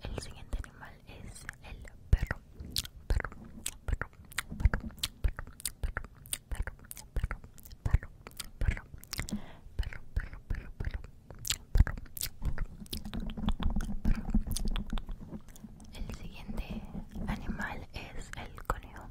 el siguiente animal es el perro. Perro, perro, perro, perro, perro, perro, perro, perro, perro, perro, perro, perro, perro, El siguiente animal es el conejo.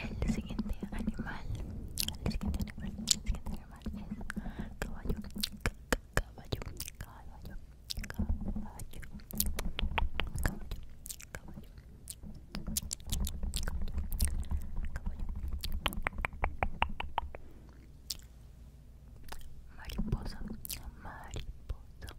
El siguiente animal, el siguiente animal, el siguiente animal es caballo, caballo, caballo, caballo, caballo, caballo, caballo, caballo. Mariposa, mariposa,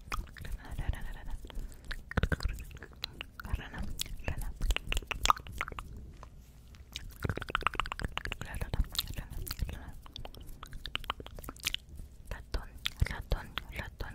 Rana, rana, rana. ratón, ratón, ratón,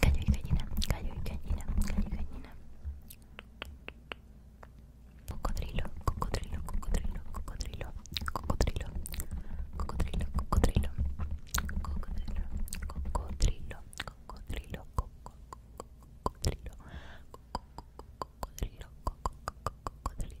Cayo y gallina. cayo y gallina. cayo y gallina. Cocodrilo, cocodrilo, cocodrilo, cocodrilo, cocodrilo, cocodrilo, cocodrilo, cocodrilo, cocodrilo, cocodrilo, cocodrilo, cocodrilo, cocodrilo, cocodrilo,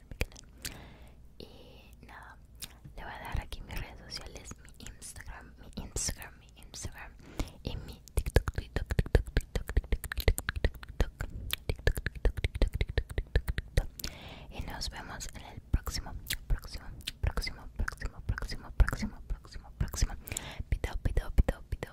Y nada, le voy a dar aquí mis redes sociales, mi Instagram, mi Instagram, mi Instagram y mi TikTok, TikTok, TikTok, TikTok, TikTok, TikTok, TikTok, TikTok, Y nos vemos en el próximo, próximo, próximo, próximo, próximo, próximo, próximo, próximo. Pito, pito, pito, pito,